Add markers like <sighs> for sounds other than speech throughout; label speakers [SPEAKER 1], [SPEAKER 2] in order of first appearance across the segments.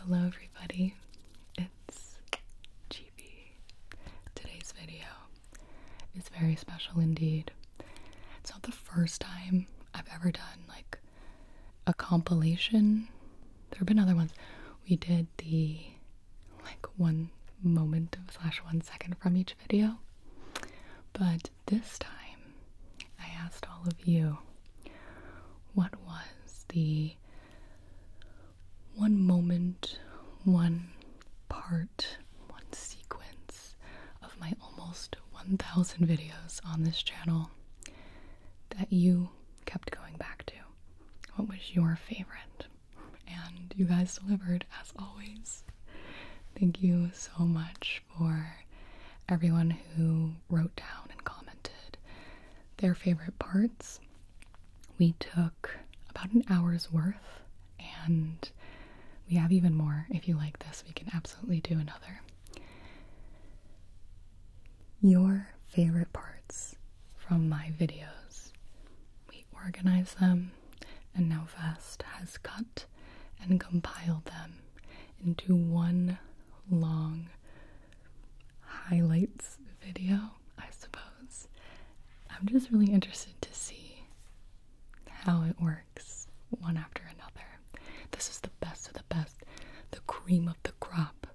[SPEAKER 1] Hello everybody, it's Chibi. Today's video is very special indeed. It's not the first time I've ever done like a compilation. There have been other ones. We did the like one moment of slash one second from each video. But this time I asked all of you what was the one moment, one part, one sequence of my almost 1,000 videos on this channel that you kept going back to. What was your favorite? And you guys delivered as always. Thank you so much for everyone who wrote down and commented their favorite parts. We took about an hour's worth, and we have even more. If you like this, we can absolutely do another. Your favorite parts from my videos. We organize them, and now Vest has cut and compiled them into one long highlights video, I suppose. I'm just really interested to see how it works one after another. This is the best of the best, the cream of the crop.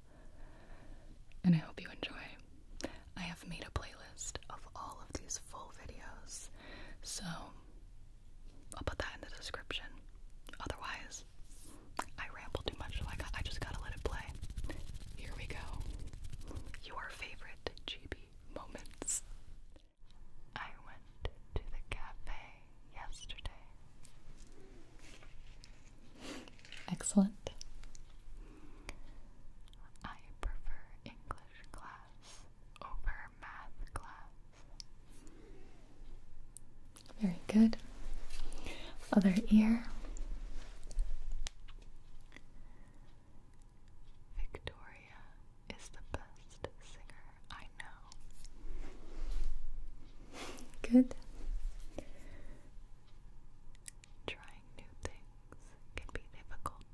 [SPEAKER 1] And I hope you enjoy. I have made a playlist of all of these full videos, so I'll put that in the description. Otherwise, I ramble too much, so I just gotta let it play. Here we go. Your favorite GB moments. I went to the cafe yesterday. Excellent. I prefer English class over math class. Very good. Other ear. Victoria is the best singer I know. Good. Trying new things can be difficult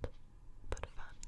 [SPEAKER 1] but fun.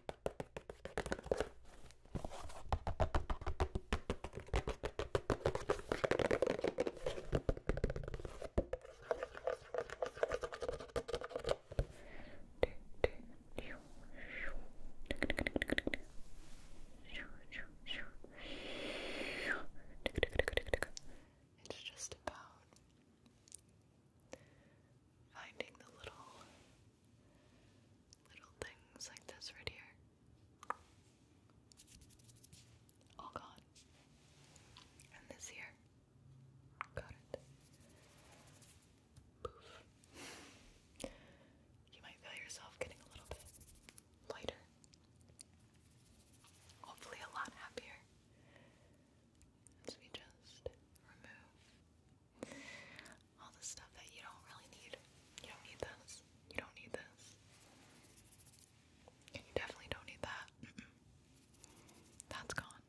[SPEAKER 1] It's just about finding the little Little things like this right here. All gone. And this here. Got it. Poof. You might feel yourself getting a little bit lighter. Hopefully, a lot happier. As we just remove all the stuff that you don't really need. You don't need this. You don't need this. you definitely don't need that. That's gone.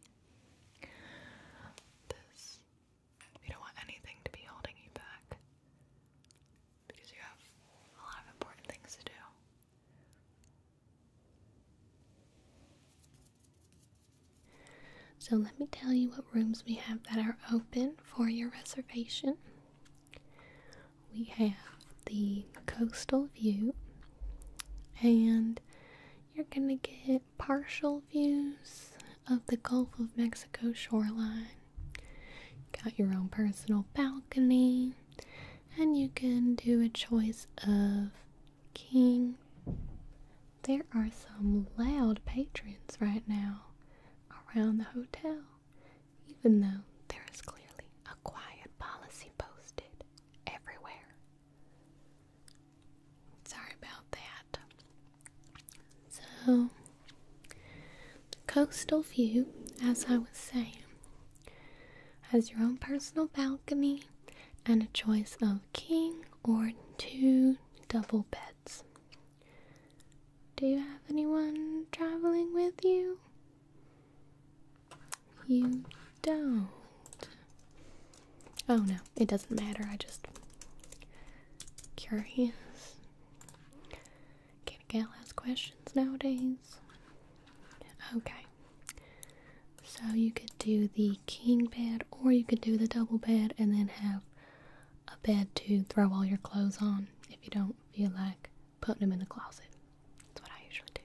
[SPEAKER 1] This. You don't want anything to be holding you back because you have a lot of important things to do. So, let me tell you what rooms we have that are open for your reservation. We have the coastal view, and you're going to get partial views of the Gulf of Mexico shoreline. Got your own personal balcony, and you can do a choice of king there are some loud patrons right now around the hotel, even though there is clearly a quiet policy posted everywhere. Sorry about that. So, coastal view, as I was saying, has your own personal balcony and a choice of king or two double beds. Do you have anyone traveling with you? You don't. Oh no, it doesn't matter. I just curious. can a gal ask questions nowadays? Okay. So you could do the king bed or you could do the double bed and then have a bed to throw all your clothes on if you don't feel like putting them in the closet. That's what I usually do.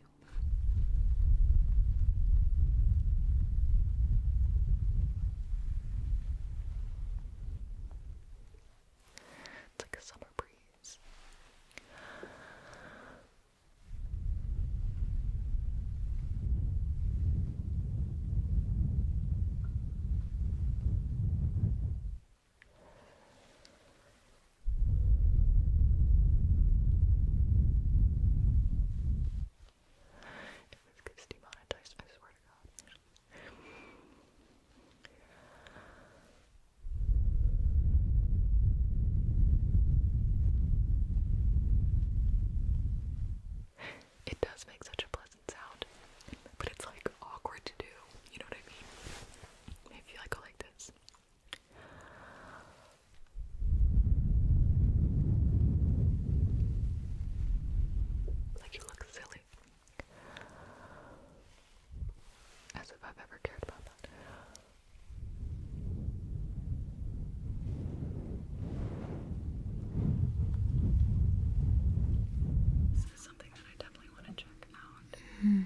[SPEAKER 1] It's like a summer breeze. It gets demonetized, I swear to God. It does make such a pleasant sound, but it's like awkward to do. You know what I mean? Maybe I like this. Like you look silly. As if I've ever cared about that. This is something that I definitely want to check out. -hmm.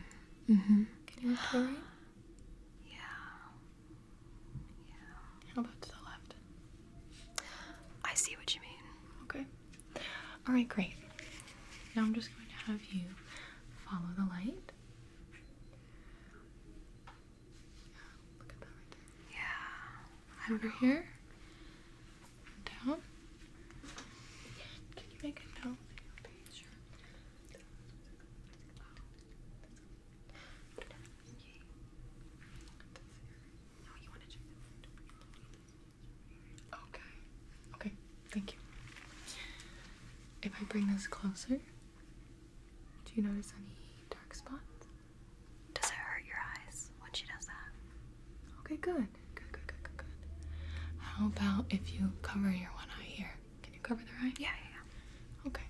[SPEAKER 1] -hmm. Can you look right? Yeah. Yeah. How about to the left? I see what you mean. Okay. All right, great. Now I'm just going to have you follow the light. Yeah, look at that right there. Yeah over here, down. Can you make a note Okay. Okay, thank you. If I bring this closer, do you notice any dark spots? Does it hurt your eyes when she does that? Okay, good. Good, good, good, good, good. How about if you cover your one eye here? Can you cover the eye? Yeah, yeah, yeah. Okay.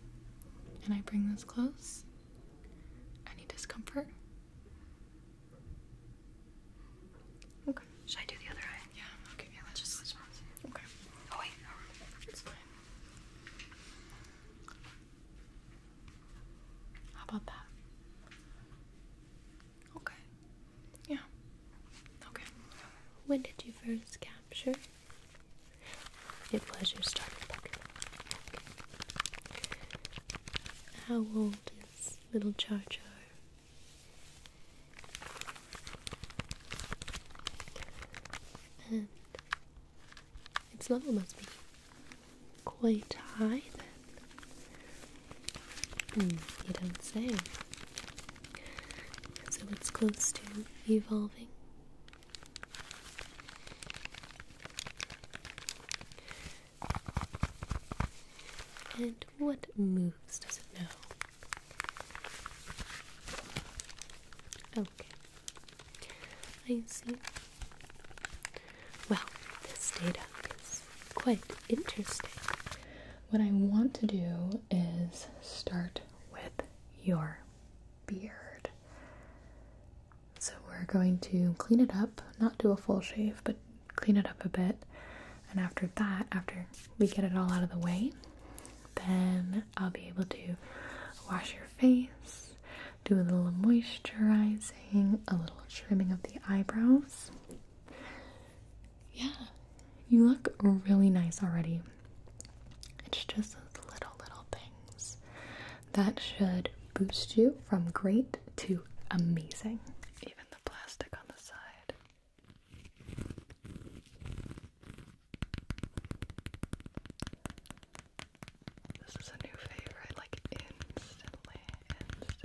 [SPEAKER 1] Can I bring this close. Any discomfort? Okay. Should I do the other eye? Yeah, okay. Yeah, let's just switch ones. Okay. Oh, wait, how about that? Okay. Yeah. Okay. When did you first capture? It was your starter Pokemon. How old is little Char Char? And its level must be quite high hmm, you don't say. So it's close to evolving. And what moves does it know? Okay. I see. Well, this data is quite interesting. What I want to do is start with your beard. So we're going to clean it up, not do a full shave, but clean it up a bit. And after that, after we get it all out of the way, then I'll be able to wash your face do a little moisturizing, a little trimming of the eyebrows. Yeah, you look really nice already. It's just those little, little things that should boost you from great to amazing. Even the plastic on the side. This is a new favorite, like instantly, instantly.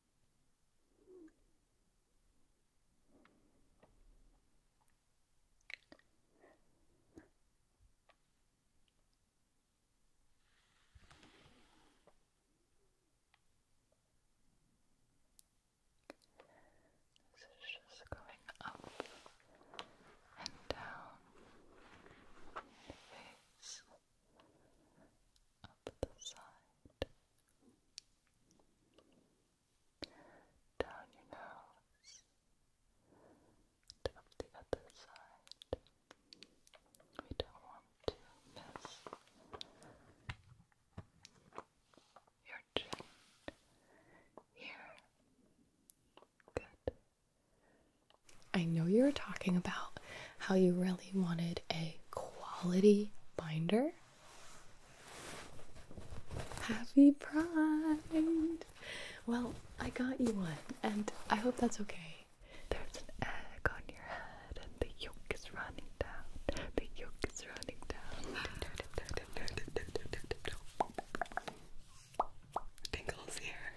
[SPEAKER 1] This is just going up and down the face up the side, down your nose, up the other side. We don't want to miss your chin here. Good. I know you're talking about how you really wanted a quality binder. Happy Pride! Well, I got you one, and I hope that's okay. There's an egg on your head, and the yolk is running down. The yolk is running down. Tingles here.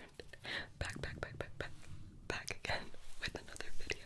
[SPEAKER 1] Back, back, back, back, back, back again with another video.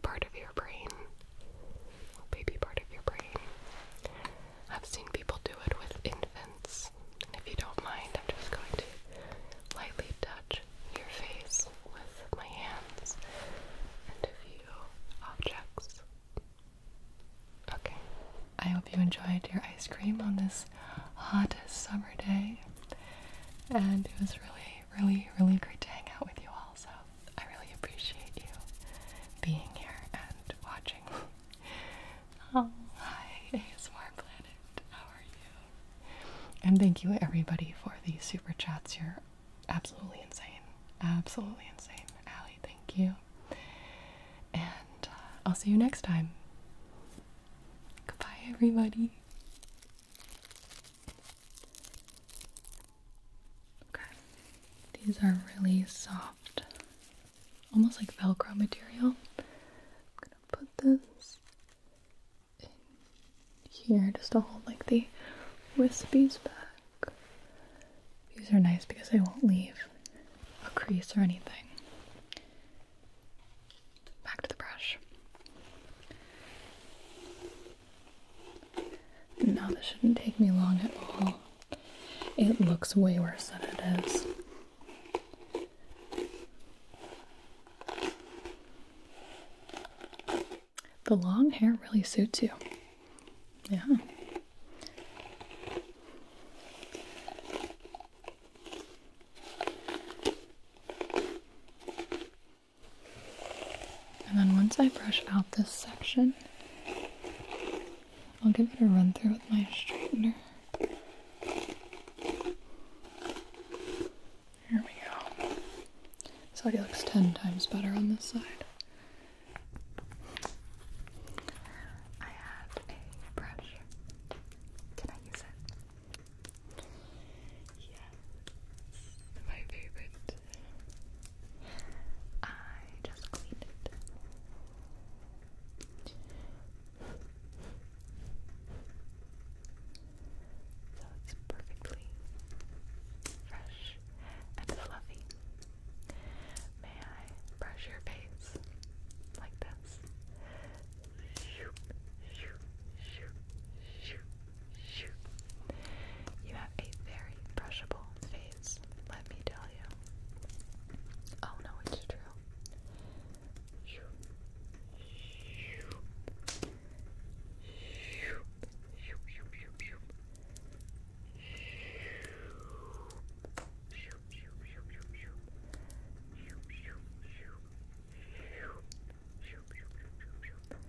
[SPEAKER 1] part of your brain, baby part of your brain. I've seen people do it with infants, if you don't mind, I'm just going to lightly touch your face with my hands and a objects. Okay, I hope you enjoyed your ice cream on this hottest summer day, and it was really, really, really great to hang out with you all. So I really appreciate you being here and watching. <laughs> oh, hi, ASMR Planet. How are you? And thank you, everybody, for these super chats. You're absolutely insane. Absolutely insane. Allie, thank you. And uh, I'll see you next time. Goodbye, everybody. Okay. These are really soft, almost like Velcro material. I'm gonna put this in here just to hold like the wispies back. These are nice because they won't leave a crease or anything. Back to the brush. No, this shouldn't take me long at all. It looks way worse than it is. The long hair really suits you. Yeah. And then once I brush out this section, I'll give it a run through with my straightener. Here we go. This already looks 10 times better on this side. I have a brush. Can I use it? Yes. My favorite. I just cleaned it. So it's perfectly fresh and fluffy. May I brush your face like this? Shoot, shoot, shoot, shoot, Shoot. You have a very brushable face, let me tell you. Oh no, it's true.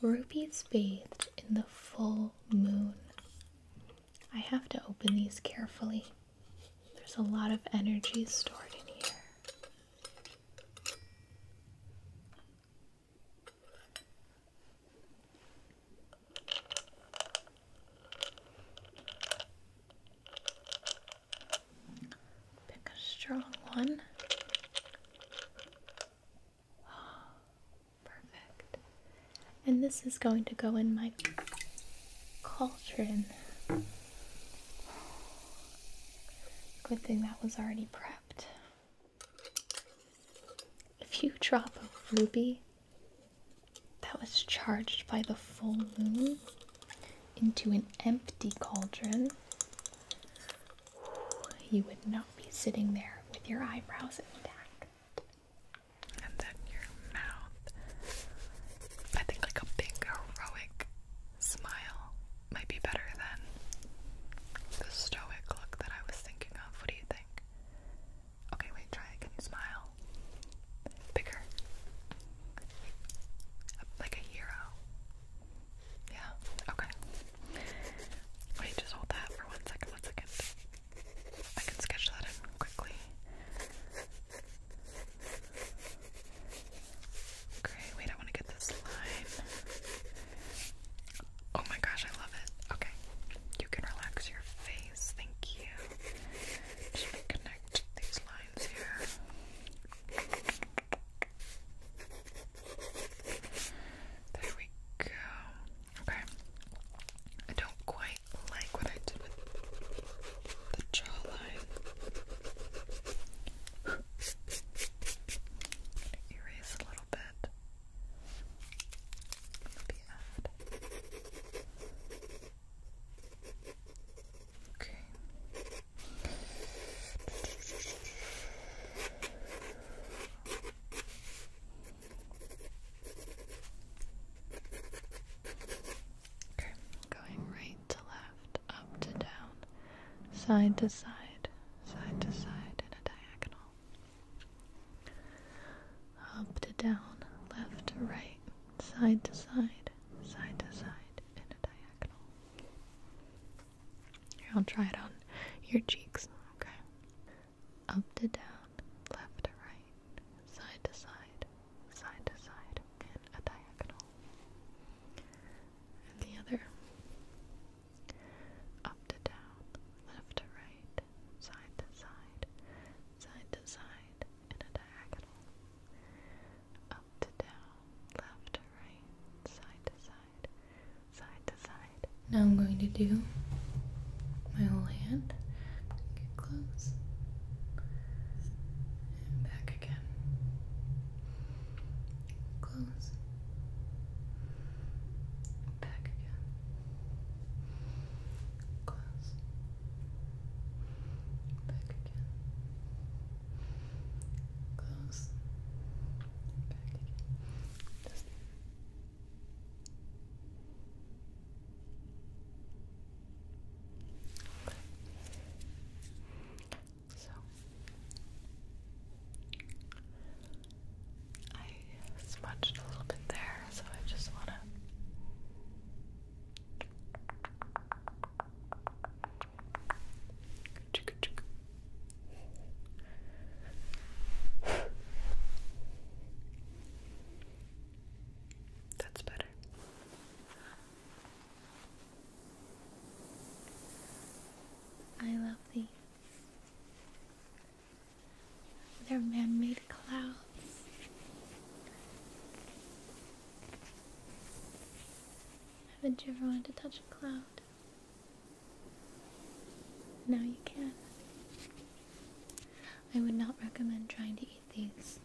[SPEAKER 1] Rubies bathed in the full moon. I have to open these carefully. There's a lot of energy stored in here. Pick a strong one. <gasps> perfect. And this is going to go in my cauldron. Good thing that was already prepped. If you drop a ruby that was charged by the full moon into an empty cauldron, you would not be sitting there with your eyebrows intact. And then your mouth. I think like a big heroic smile might be better than the stoic look that I was thinking of. What do you think? Okay, wait, try it. Can you smile? Bigger. Like a hero. Yeah, okay. Wait, just hold that for one second, one second. I can sketch that in quickly. Okay, wait, I want to get this line. Oh my gosh, I love it. Okay, you can relax your face. Thank you. Just connect these lines here. There we go. Okay. I don't quite like what I did the jawline. erase a little bit. Okay. Okay, going right to left, up to down, side to side, side to side in a diagonal. Up to down, left to right, side to side, side to side in a diagonal. I'll try it on your cheeks. Okay. Up to down, left to right, side to side, side to side, and a diagonal. And the other. Up to down, left to right, side to side, side to side, and a diagonal. Up to down, left to right, side to side side to side. Now I'm going to do my whole hand. close. And back again. Close. Back again. Close. Back again. Close. Just So I smudged a little bit there, so I just want to that's better. I love these. They're man made clouds. Haven't you ever wanted to touch a cloud? Now you can. I would not recommend trying to eat these.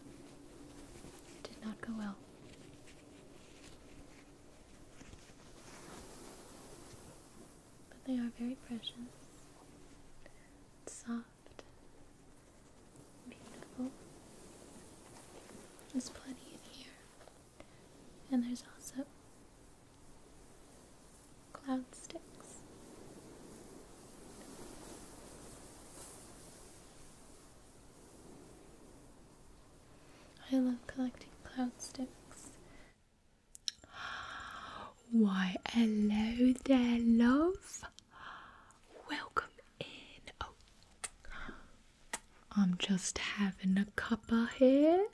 [SPEAKER 1] It did not go well. But they are very precious, soft, beautiful. There's plenty in here. And there's also cloud sticks. I love collecting cloud sticks. Why, hello there, love. Welcome in. Oh. I'm just having a cup of here.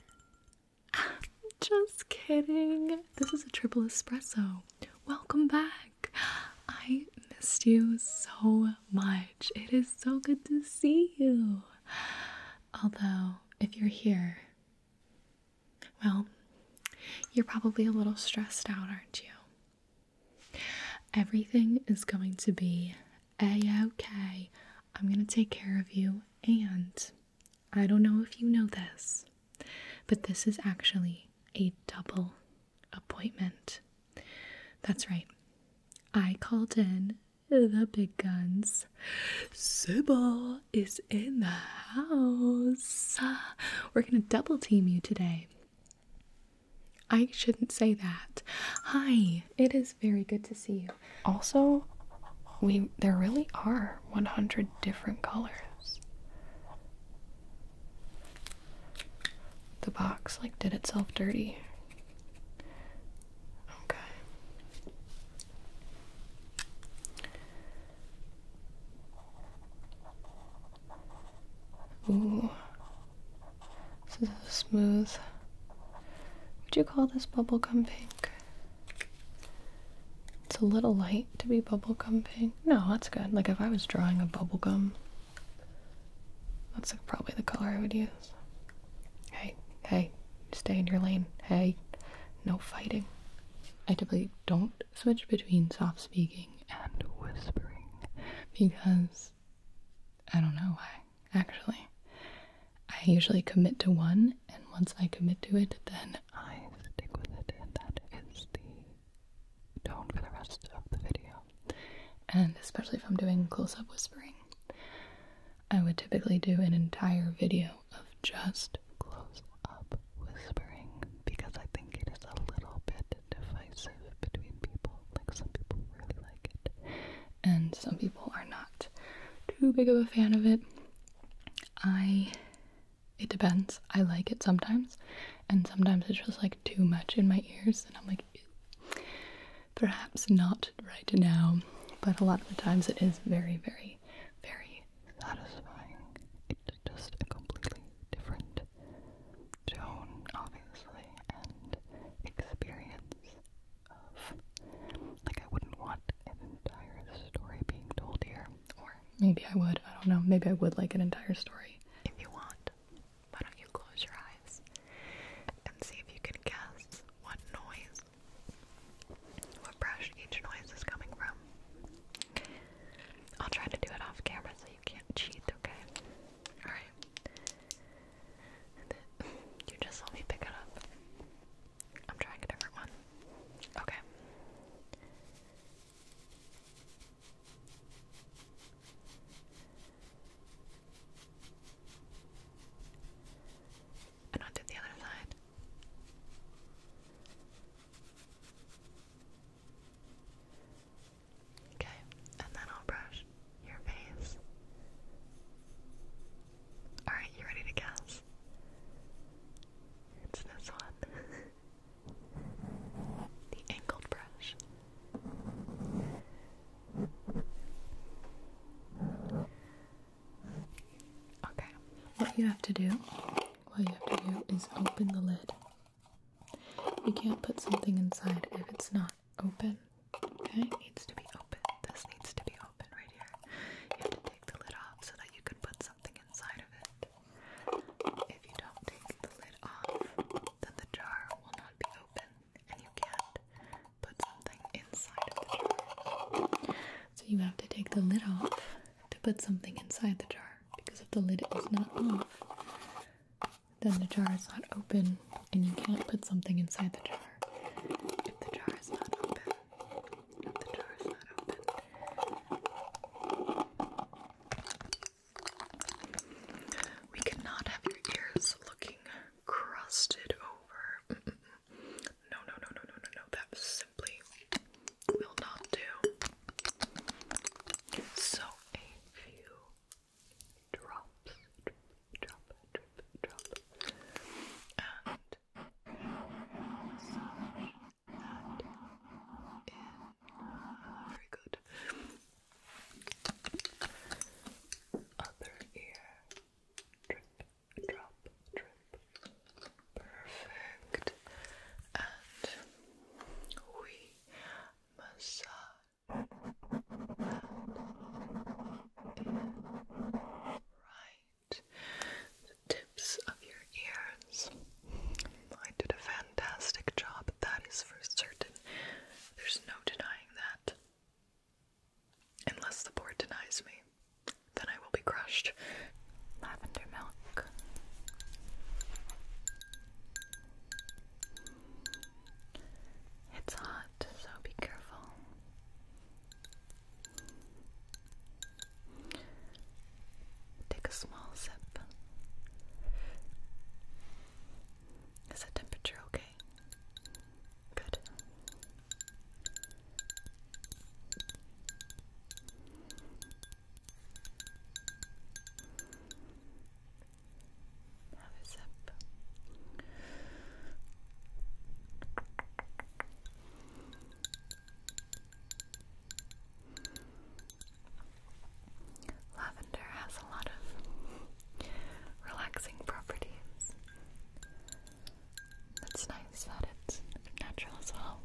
[SPEAKER 1] <laughs> just kidding. This is a triple espresso. Welcome back. I missed you so much. It is so good to see you. Although, if you're here, well, you're probably a little stressed out, aren't you? Everything is going to be a-okay. I'm gonna take care of you, and I don't know if you know this, but this is actually a double appointment. That's right. I called in the big guns. Sybil is in the house. We're gonna double team you today. I shouldn't say that. Hi, it is very good to see you. Also, we there really are 100 different colors. The box like did itself dirty. Okay. Ooh. This is a smooth. Would you call this bubblegum pink? It's a little light to be bubblegum pink. No, that's good. Like if I was drawing a bubblegum, that's probably the color I would use. Hey, hey, stay in your lane. Hey, no fighting. I typically don't switch between soft speaking and whispering because I don't know why actually. I usually commit to one, and once I commit to it, then I stick with it, and that is the tone for the rest of the video. And especially if I'm doing close up whispering, I would typically do an entire video of just close up whispering because I think it is a little bit divisive between people. Like, some people really like it, and some people are not too big of a fan of it. I it depends. I like it sometimes, and sometimes it's just like too much in my ears, and I'm like, perhaps not right now. But a lot of the times, it is very, very, very satisfying. It's just a completely different tone, obviously, and experience like, I wouldn't want an entire story being told here. Or maybe I would. I don't know. Maybe I would like an entire story. If you want, why don't you close your eyes and see if you can guess what noise, what brush each noise is coming from? I'll try to do it off camera so you can't cheat, okay? Alright. <laughs> you just let me pick it up. I'm trying a different one. Okay. And i the other side. Okay, and then I'll brush your face. Alright, you ready to guess? It's this one. <laughs> the angled brush. Okay. What you have to do, what you have to do is open the lid. You can't put something inside if it's not open. Okay, it needs to be open. This needs to be open right here. You have to take the lid off so that you can put something inside of it. If you don't take the lid off, then the jar will not be open and you can't put something inside of the jar. So you have to take the lid off to put something inside the jar because if the lid is not off, then the jar is not open and you can't put something inside the jar if the jar is not open. We cannot have your ears looking crusted over. No, no, no, no, no, no, no. That simply will not do. So a few drops, drop, drip, drop, and massage that in. Very good. Other ear, drip, drop, drip. Perfect. And we massage right the tips of your ears. I did a fantastic job, that is for certain. There's no denying that. Unless the board denies me, then I will be crushed. Lavender milk. It's hot, so be careful. Take a small sip. Is the temperature okay? Good. Lavender has a lot of relaxing properties. That's nice that it's natural as well.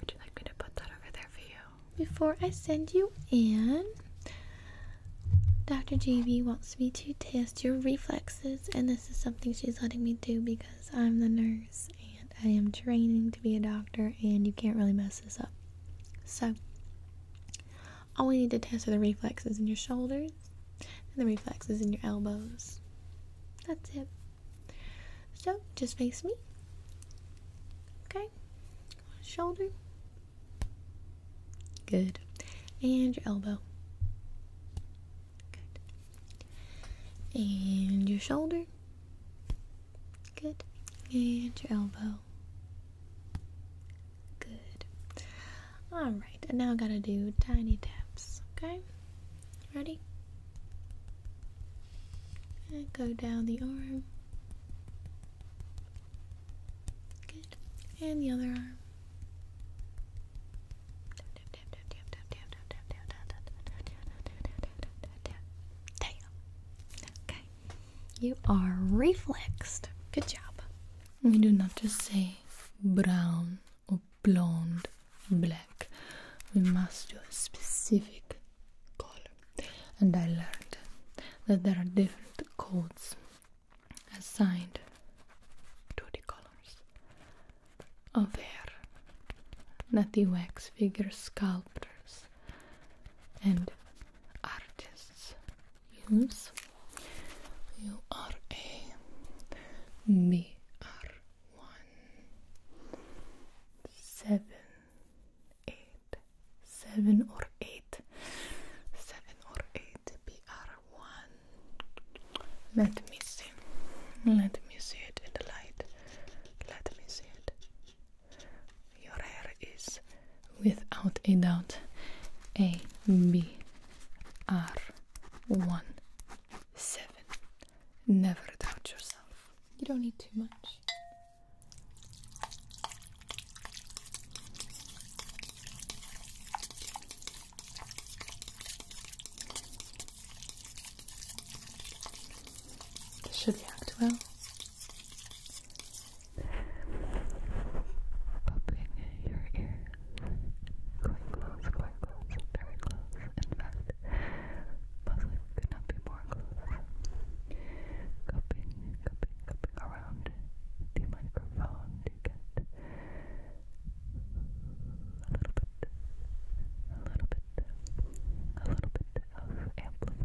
[SPEAKER 1] Would you like me to put that over there for you? Before I send you in, Dr. JV wants me to test your reflexes, and this is something she's letting me do because I'm the nurse and I am training to be a doctor, and you can't really mess this up. So, all we need to test are the reflexes in your shoulders and the reflexes in your elbows. That's it. So just face me. Okay. Shoulder. Good. And your elbow. Good. And your shoulder. Good. And your elbow. Good. Alright, now I gotta do tiny taps, okay? Ready? And go down the arm. Good. And the other arm. You are reflexed. Good job. We do not just say brown or blonde, black. We must do a specific color. And I learned that there are different codes assigned to the colors of hair that the wax figure sculptors and artists use. You are a BR one seven eight seven or eight seven or eight BR one. Let me see. Let me see it in the light. Let me see it. Your hair is without a doubt A B R one seven. Never doubt yourself. You don't need too much. This should react well popping your ear quite close, quite close, very close. In fact, possibly could not be more close. Cupping, cupping, cupping around the microphone to get a little bit, a little bit, a little bit of amplitude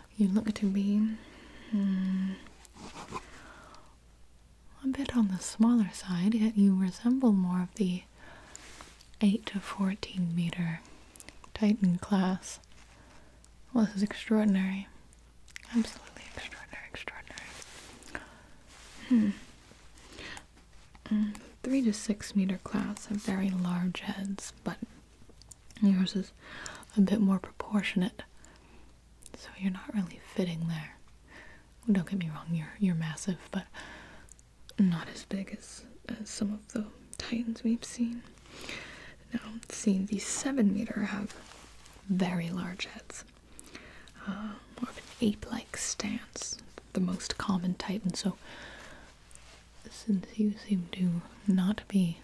[SPEAKER 1] you look to be hmm, a bit on the smaller side, yet you resemble more of the 8 to 14 meter Titan class. this is extraordinary. Absolutely extraordinary, extraordinary. Hmm. Mm, three to six meter class have very large heads, but Yours is a bit more proportionate, so you're not really fitting there. don't get me wrong, you're you're massive, but not as big as, some of the titans we've seen. Now, seeing the seven meter have very large heads, uh, more of an ape-like stance, the most common titan. So since you seem to not be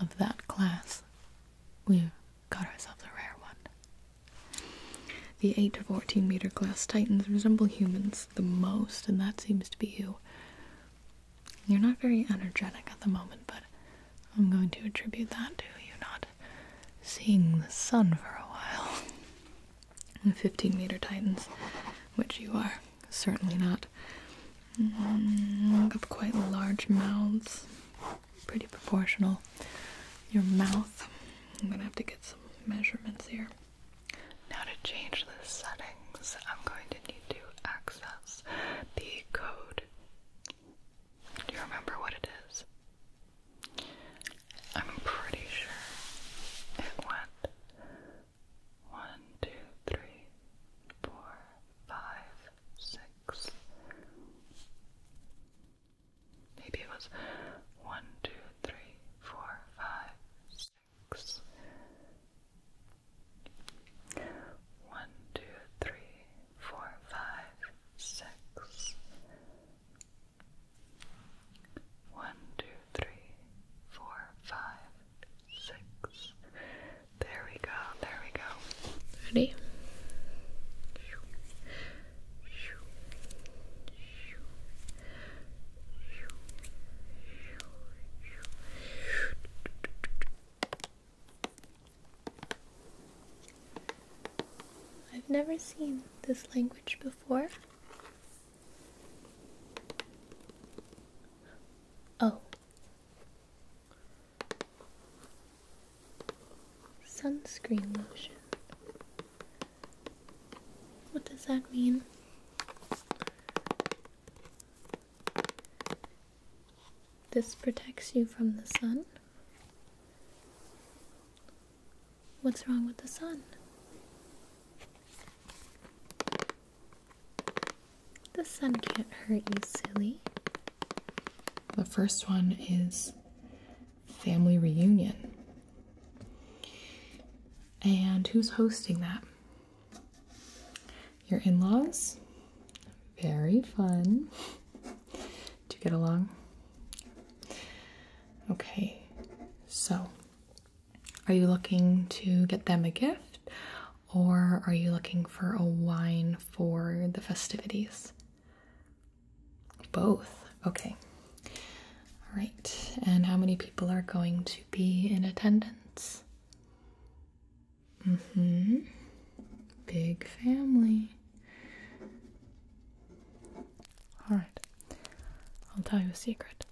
[SPEAKER 1] of that class, we've got ourselves a rare one. The 8 to 14 meter class titans resemble humans the most, and that seems to be you. You're not very energetic at the moment, but I'm going to attribute that to you not seeing the sun for a while. The <laughs> 15 meter titans, which you are. Certainly not. Have mm, of quite large mouths. Pretty proportional. Your mouth. I'm gonna have to get some measurements here. Now to change the settings, I'm going to need to access the code. Do you remember what it is? I'm pretty sure it went one, two, three, four, five, six. Maybe it was one, two, three, four, five, six. One, two, three, four, five, six. One, two, three, four, five, six. There we go, there we go. Ready? I've never seen this language before. Oh. Sunscreen lotion. What does that mean? This protects you from the sun. What's wrong with the sun? The sun can't hurt you, silly. The first one is Family Reunion. And who's hosting that? Your in laws? Very fun. Do you get along? Okay, so are you looking to get them a gift or are you looking for a wine for the festivities? Both. Okay. All right. And how many people are going to be in attendance? Mm-hmm. Big family. All right. I'll tell you a secret.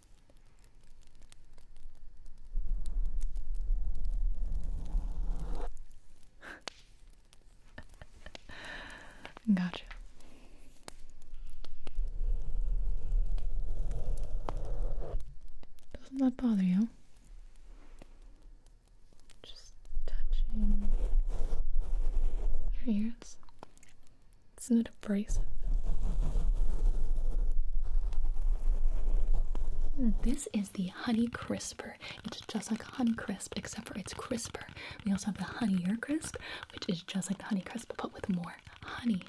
[SPEAKER 1] <laughs> gotcha. Doesn't that bother you? Just touching your ears. Isn't Hmm, this is the Honey Crisper. It's just like Honey Crisp, except for it's crisper. We also have the Honey Honeyer Crisp, which is just like the Honey Crisp, but with more honey.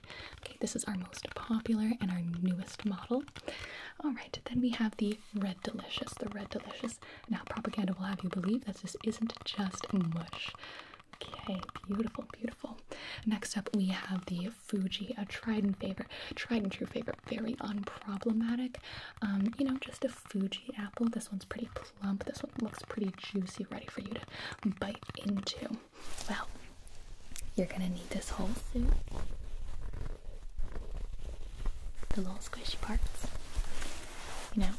[SPEAKER 1] Okay, this is our most popular and our newest model. All right, then we have the Red Delicious. The Red Delicious. Now, propaganda will have you believe that this isn't just mush. Okay, beautiful, beautiful. Next up, we have the Fuji, a tried and favorite, tried and true favorite, very unproblematic. Um, you know, just a Fuji apple. This one's pretty plump. This one looks pretty juicy, ready for you to bite into. Well, you're gonna need this whole suit. The little squishy parts. You know,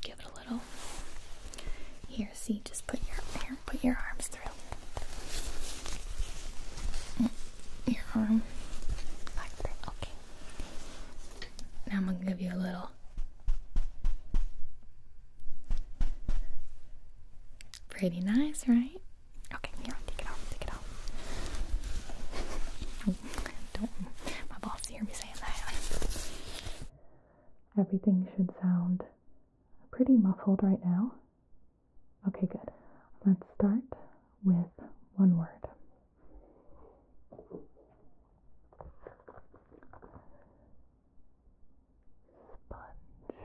[SPEAKER 1] give it a little. Here, See, just put your here, put your arms through. Mm, your arm like that. Okay. Now I'm gonna give you a little pretty nice, right? Okay, here, take it off, take it off. <laughs> Don't my boss hear me saying that. Everything should sound pretty muffled right now. Okay, good. Let's start with one word. Sponge.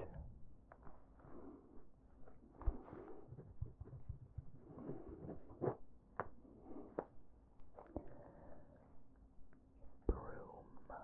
[SPEAKER 1] Broom.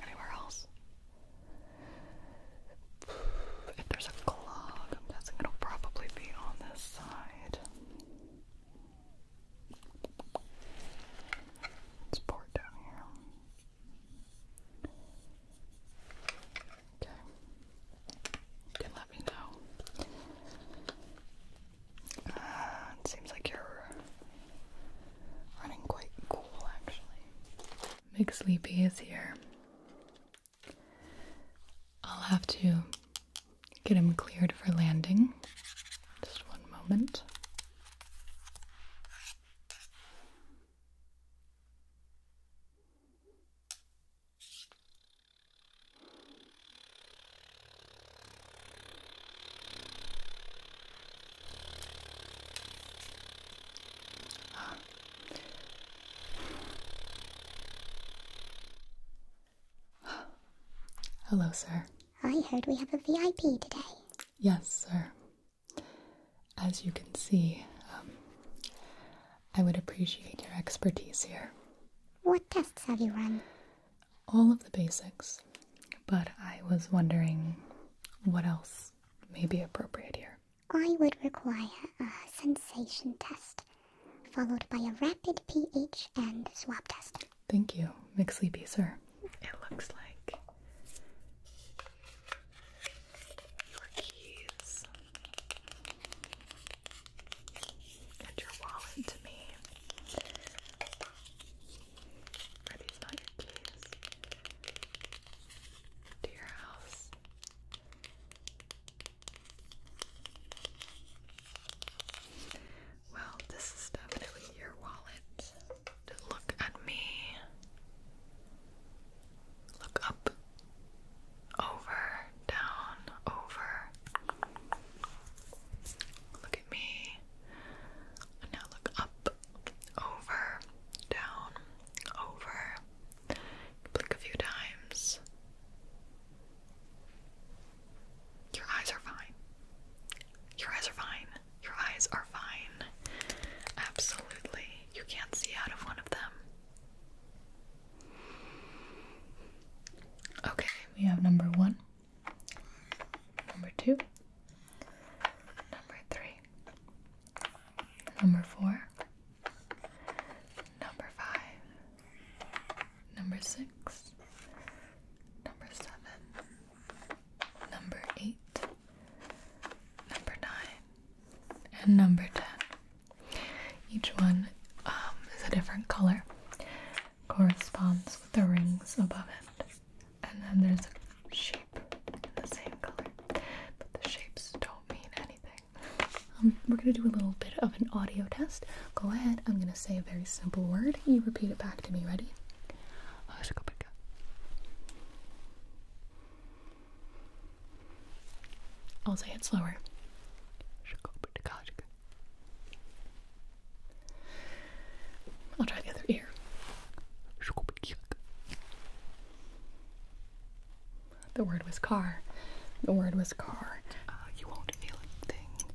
[SPEAKER 1] Anywhere else? If there's a clog, I'm guessing it'll probably be on this side. Let's down here. Okay. You can let me know uh, it seems like you're running quite cool, actually. Big Sleepy is here. I'll have to get him cleared for landing. Just one moment. Hello, sir. I heard we have a VIP today. Yes, sir. As you can see, um, I would appreciate your expertise here. What tests have you run? all of the basics, but I was wondering what else may be appropriate here. I would require a sensation test, followed by a rapid pH and swap test. Thank you, sleepy sir. It looks like your keys and your wallet to me. Are these not your To your house. Well, this is definitely your wallet. Look at me. Look up. Over down, over. Look at me. And now look up, over, down, over. Blink a few times. Your eyes are fine. Your eyes are fine. Your eyes are fine. Absolutely. You can't see out of one of them. Okay, we have number one, number two, number three, number four, number five, number six, number seven, number eight, number nine, and number ten. Each one um, is a different color corresponds with the rings above it. And then there's a shape in the same color. But the shapes don't mean anything. Um, we're going to do a little bit of an audio test. Go ahead. I'm going to say a very simple word. You repeat it back to me. Ready? I'll say it slower. I'll try the other ear. The word was car. The word was car. Uh, you won't feel anything.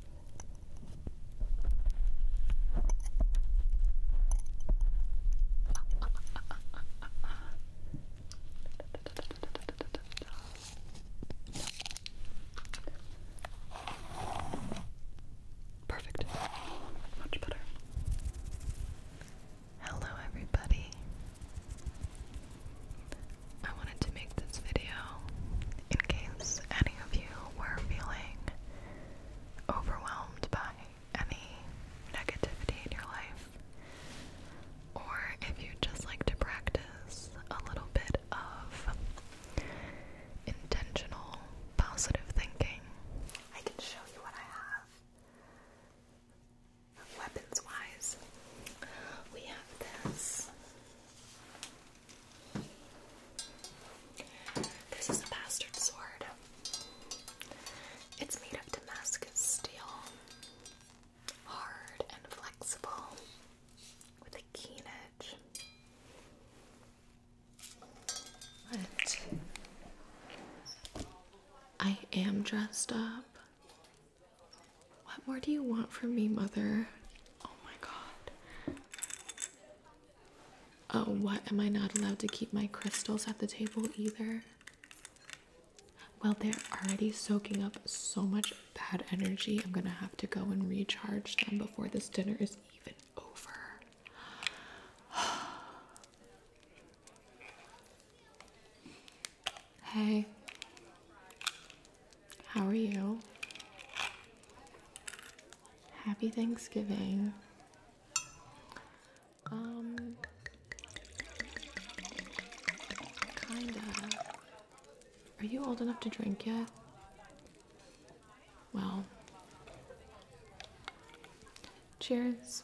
[SPEAKER 1] <laughs> Perfect. Much better. Hello, everybody. I wanted to make this video in case any of you were feeling overwhelmed by any negativity in your life, or if you'd just like to practice a little bit of intentional positive thinking. Weapons wise, we have this. This is a bastard sword. It's made of Damascus steel hard and flexible with a keen edge. I am dressed up. What more do you want from me, mother? Oh my god. Oh, what? Am I not allowed to keep my crystals at the table either? Well, they're already soaking up so much bad energy. I'm gonna have to go and recharge them before this dinner is even over. <sighs> hey, how are you? Happy Thanksgiving. Um, kinda. Are you old enough to drink yet? Well, cheers.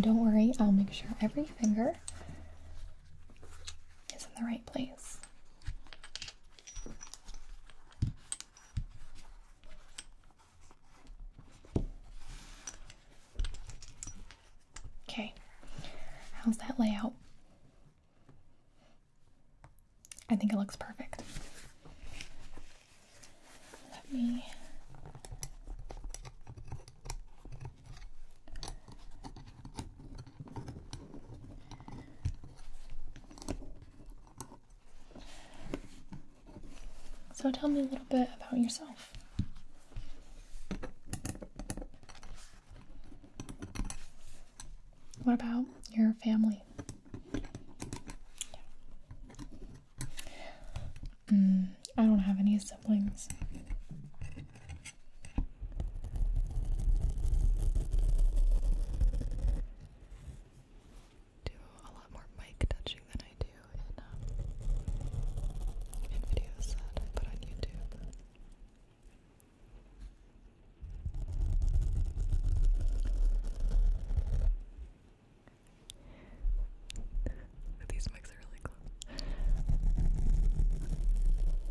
[SPEAKER 1] don't worry, I'll make sure every finger is in the right place. Okay, how's that layout? I think it looks perfect. Let me so tell me a little bit about yourself. What about your family? Mm, I don't have any siblings. Do a lot more mic touching than I do in um, in videos that on YouTube. These mics are really close.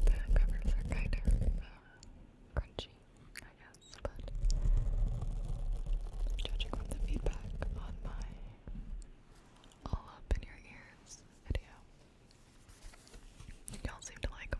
[SPEAKER 1] The covers are kind of uh, crunchy, I guess, but judging from the feedback on my all up in your ears video, y'all seem to like them.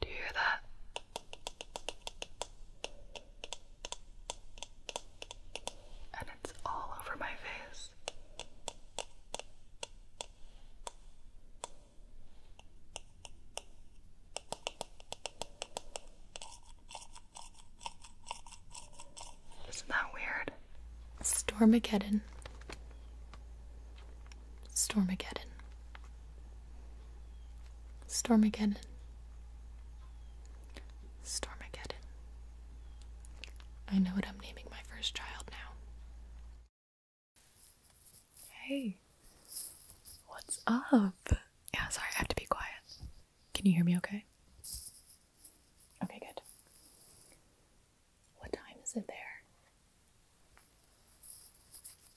[SPEAKER 1] Do you hear that? and it's all over my face. Isn't that weird? Stormageddon. Stormageddon. Stormageddon. Stormageddon. I know what I'm naming my first child now. Hey, what's up? Yeah, sorry, I have to be quiet. Can you hear me okay? Okay, good. What time is it there?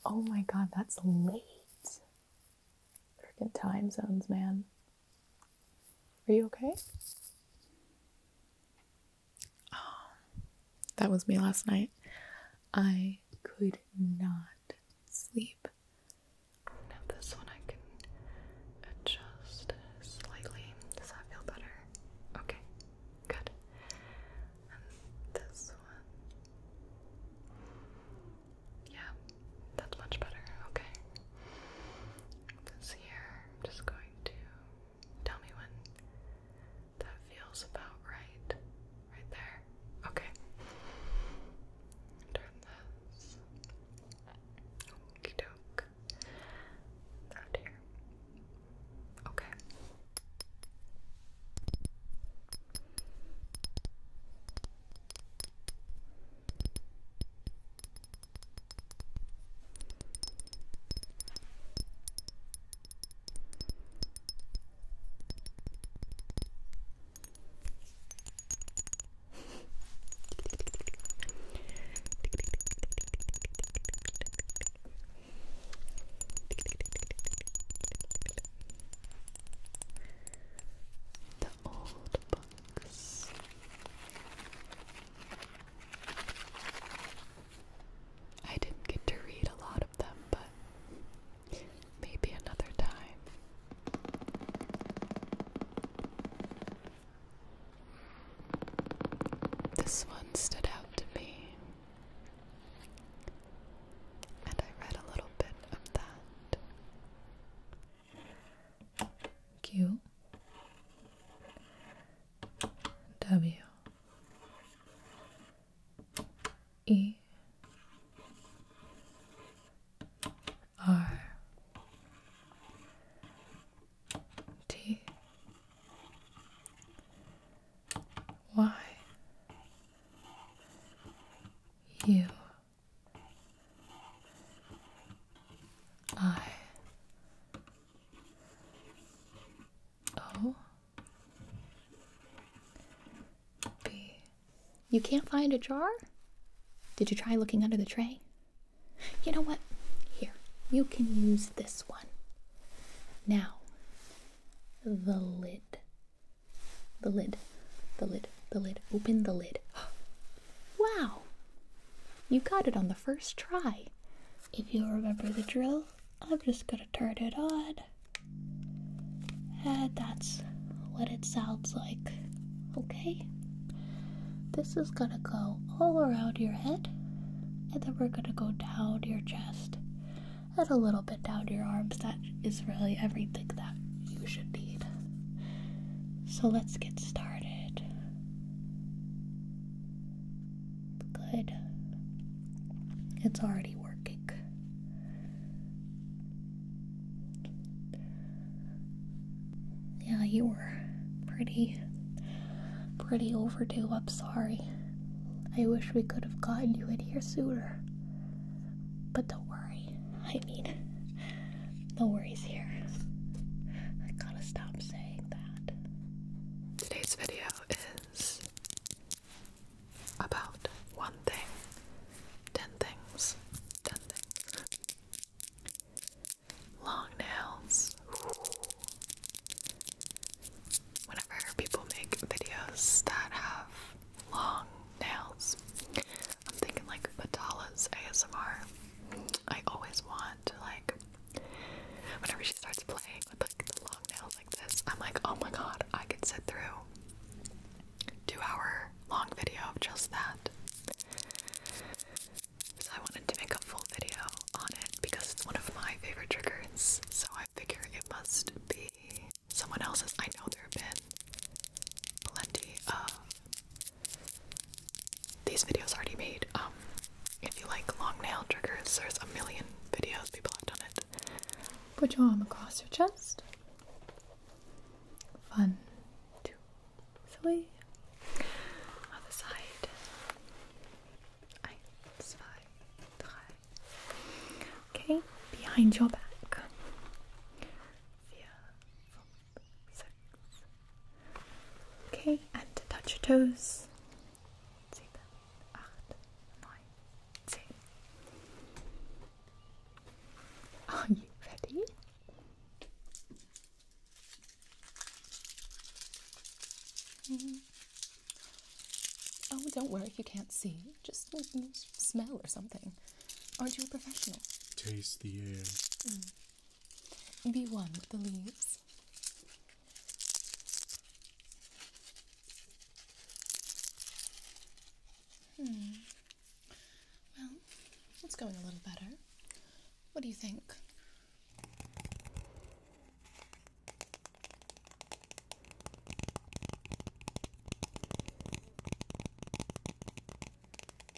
[SPEAKER 1] Oh my god, that's late. Freaking time zones, man. Are you okay? Um, that was me last night. I could not sleep. Now, this one I can adjust slightly. Does that feel better? Okay, good. And this one. Yeah, that's much better. Okay. This here, I'm just going to tell me when that feels about right. Right there. Okay. Turn this. Okie doke. Out here. Okay the old book I didn't get to read a lot of them, but maybe another time. This one stood out to me, and I read a little bit of that. Q W E R T Y U I O B. You can't find a jar? Did you try looking under the tray? You know what? Here, you can use this one. Now, the lid. The lid. The lid. The lid. Open the lid. Wow! You got it on the first try. If you remember the drill, I'm just gonna turn it on. And that's what it sounds like. Okay? This is gonna go all around your head, and then we're gonna go down your chest and a little bit down your arms. That is really everything that you should need. So let's get started. Good. It's already working. Yeah, you were pretty pretty overdue. I'm sorry. I wish we could have gotten you in here sooner. But don't worry. I mean, no worries here. I gotta stop saying that. Today's video is about one thing, ten things, ten things. Long nails. Whenever people make videos that have long nails, I'm thinking like Batala's ASMR. I always want like whenever she starts playing with like the long nails like this, I'm like, oh my god, I could sit through two hour long video of just that. So I wanted to make a full video on it because it's one of my favorite triggers. So I figure it must be someone else's. I know there have been plenty of these videos already made. Um, if you like long nail triggers, there's a million videos people have done it. Put your arm across your chest. One, two, three. Other side. Okay, behind your back. Okay, and to touch your toes. Are you ready? Mm. Oh, don't worry if you can't see. Just smell or something. Aren't you a professional? Taste the air. Mm. Be one with the leaves. Hmm. Well, it's going a little better. What do you think?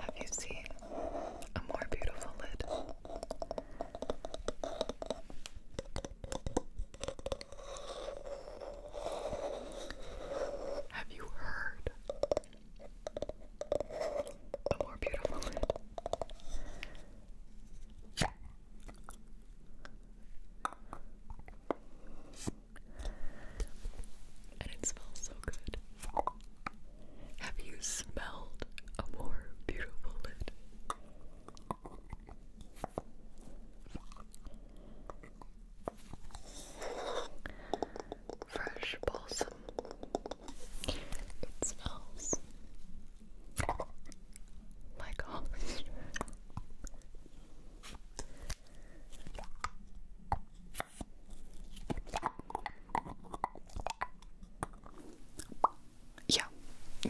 [SPEAKER 1] Have you seen a more beautiful lid? Have you heard a more beautiful lid? And it smells so good. Have you smelled a more beautiful lid? Fresh balsam. It smells like olive. Yeah,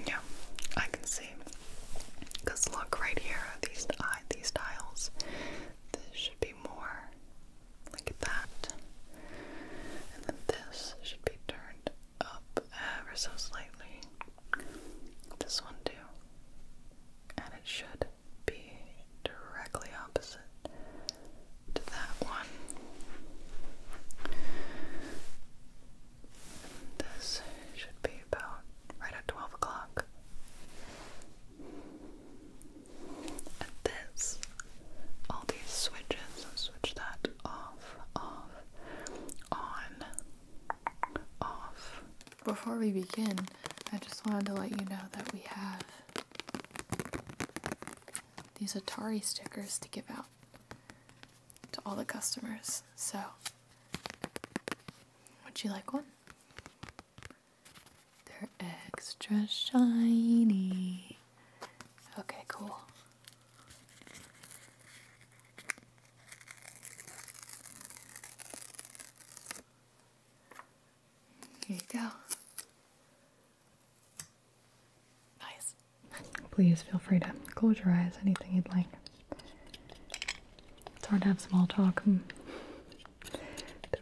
[SPEAKER 1] yeah, I can see. Cause look right here, these eye, these tiles. This should be more like that, and then this should be turned up ever so slightly. This one too and it should be directly opposite to that one. This should be about right at 12 o'clock. And this, all these switches, switch that off, off, on, off, before we begin, I just wanted to let you know that we have these Atari stickers to give out to all the customers. So, would you like one? They're extra shiny. Okay, cool. Here you go. Nice. Please feel free to close your eyes, anything you'd like. It's hard to have small talk. Hmm.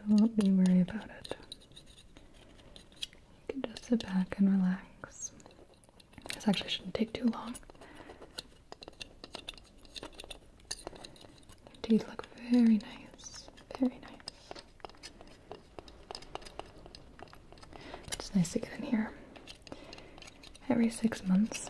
[SPEAKER 1] Don't be worry about it. You can just sit back and relax. This actually shouldn't take too long. Their teeth look very nice, very nice. it's nice to get in here every six months.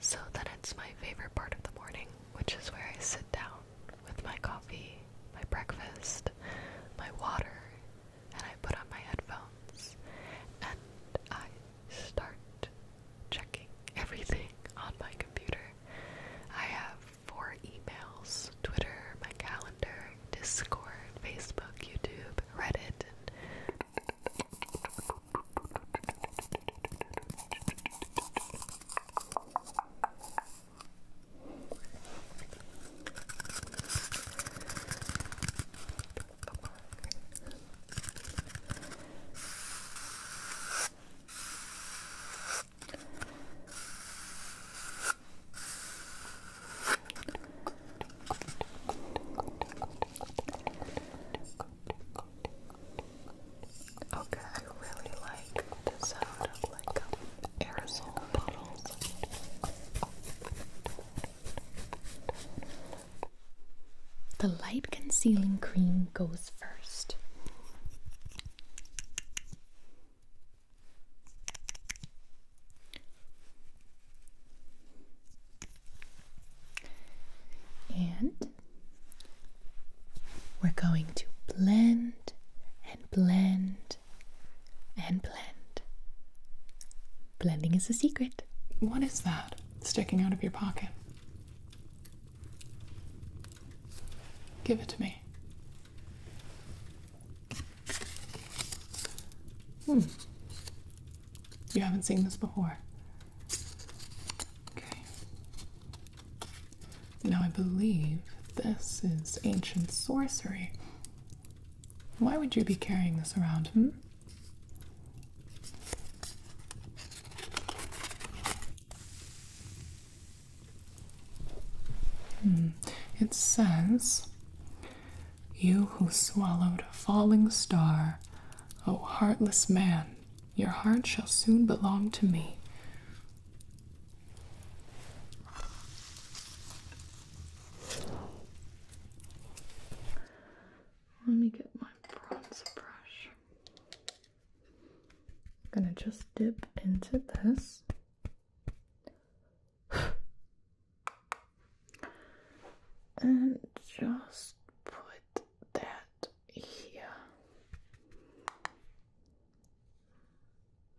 [SPEAKER 1] So then it's my favorite part of the morning, which is where I sit down with my coffee, my breakfast, my water, and I put on my headphones and I start checking <laughs> everything on my computer. I have four emails Twitter, my calendar, Discord, Facebook, YouTube, Reddit, Okay, I really like the sound of like um, aerosol bottles. The light concealing cream goes first. And we're going to blend and blend and blend. Blending is a secret. What is that sticking out of your pocket? Give it to me. Hmm. You haven't seen this before. Okay. Now I believe this is ancient sorcery. Why would you be carrying this around, hmm? Hmm. It says, You who swallowed a falling star, O heartless man, your heart shall soon belong to me. Let me get my bronze brush. I'm gonna just dip into this. <sighs> and just put that here.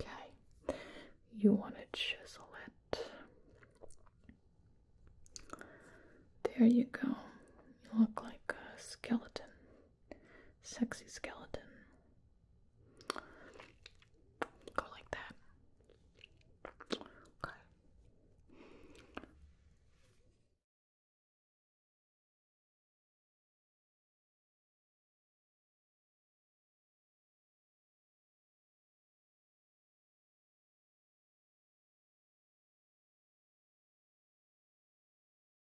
[SPEAKER 1] Okay, you want to chisel it. There you go. You look like a skeleton. Sexy skeleton. Go like that. Okay.